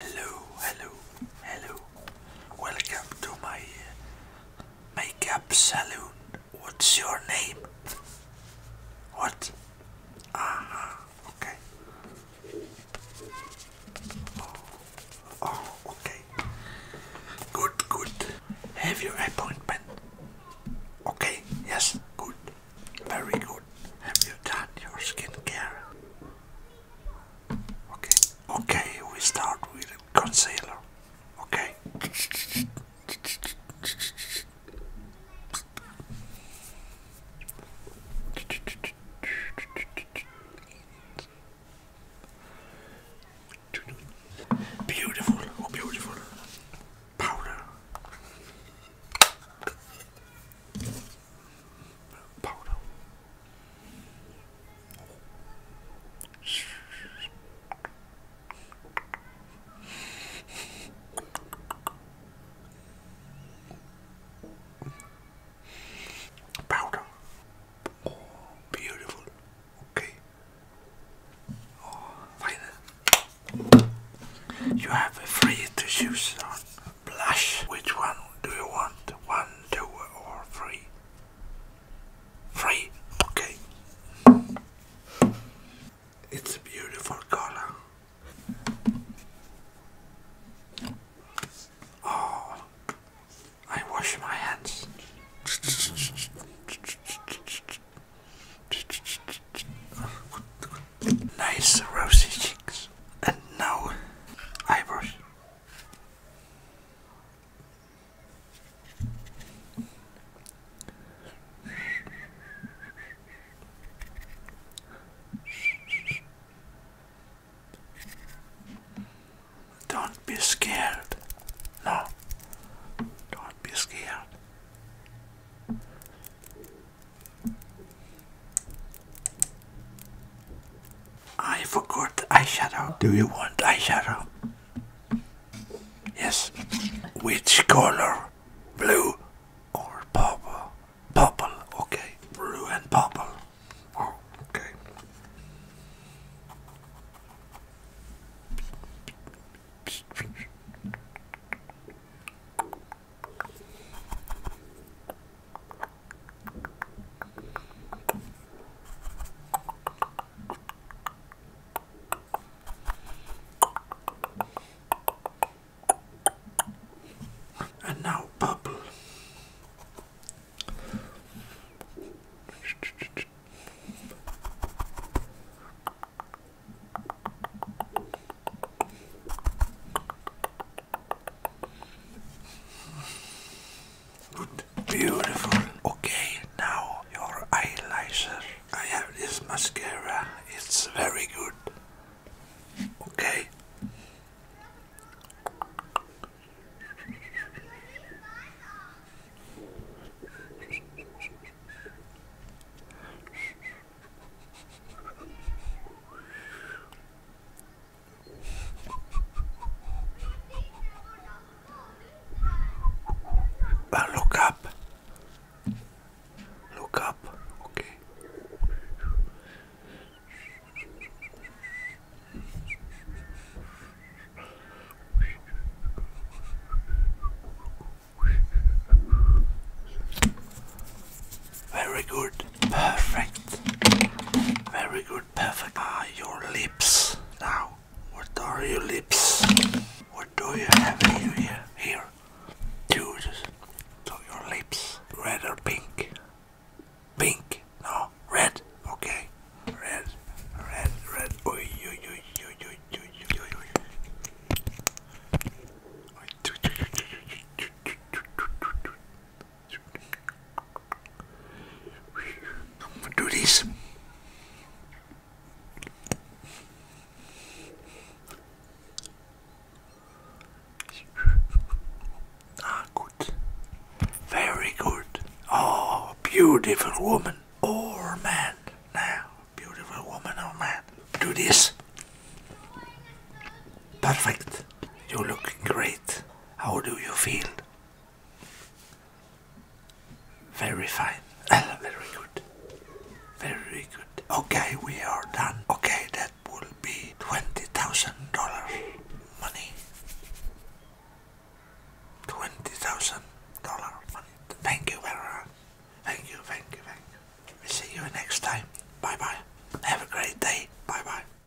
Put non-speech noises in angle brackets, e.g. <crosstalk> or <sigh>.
Hello, hello, hello. Welcome to my makeup saloon. What's your name? What? Ah, okay. Oh, oh, okay. Good, good. Have your appointment. Okay, yes, good. Very good. Have you done your skincare? Okay, okay, we start with concealer. Okay. Beautiful, oh beautiful powder powder. beautiful. Okay. Oh, fine. You have a free to choose on blush. Which one do you want? One, two, or three? Three? Okay. It's a beautiful color. Oh, I wash my hands. nice rosy cheeks. And now eyebrows. Don't be scared. No. Don't be scared. I forgot eyeshadow. Do you want eyeshadow? Yes. Which color? Blue or purple? Purple, okay. Blue and purple. Oh, okay. And now bubble. Good, beautiful. Okay, now your eyelash. I have this mascara. It's very good. Okay. Ah, look up. Look up. Okay. Very good. Perfect. Very good perfect. Ah, your lips. Now, what are your lips? What do you have here? Here. Dude. So your lips. Red or pink? Pink. No. Red. Okay. Red. Red. Red. Oi, oi, oi, oi, oi, oi, oi, oi do this. Ah, good. Very good. Oh, beautiful woman or man. Now, beautiful woman or man. Do this. Perfect. You look great. How do you feel? Very fine. <laughs> Very good. Very good. Okay, we are done. Okay, that will be $20,000 money. $20,000 money. Thank you very much. Thank you, thank you, thank you. We see you next time. Bye bye. Have a great day. Bye bye.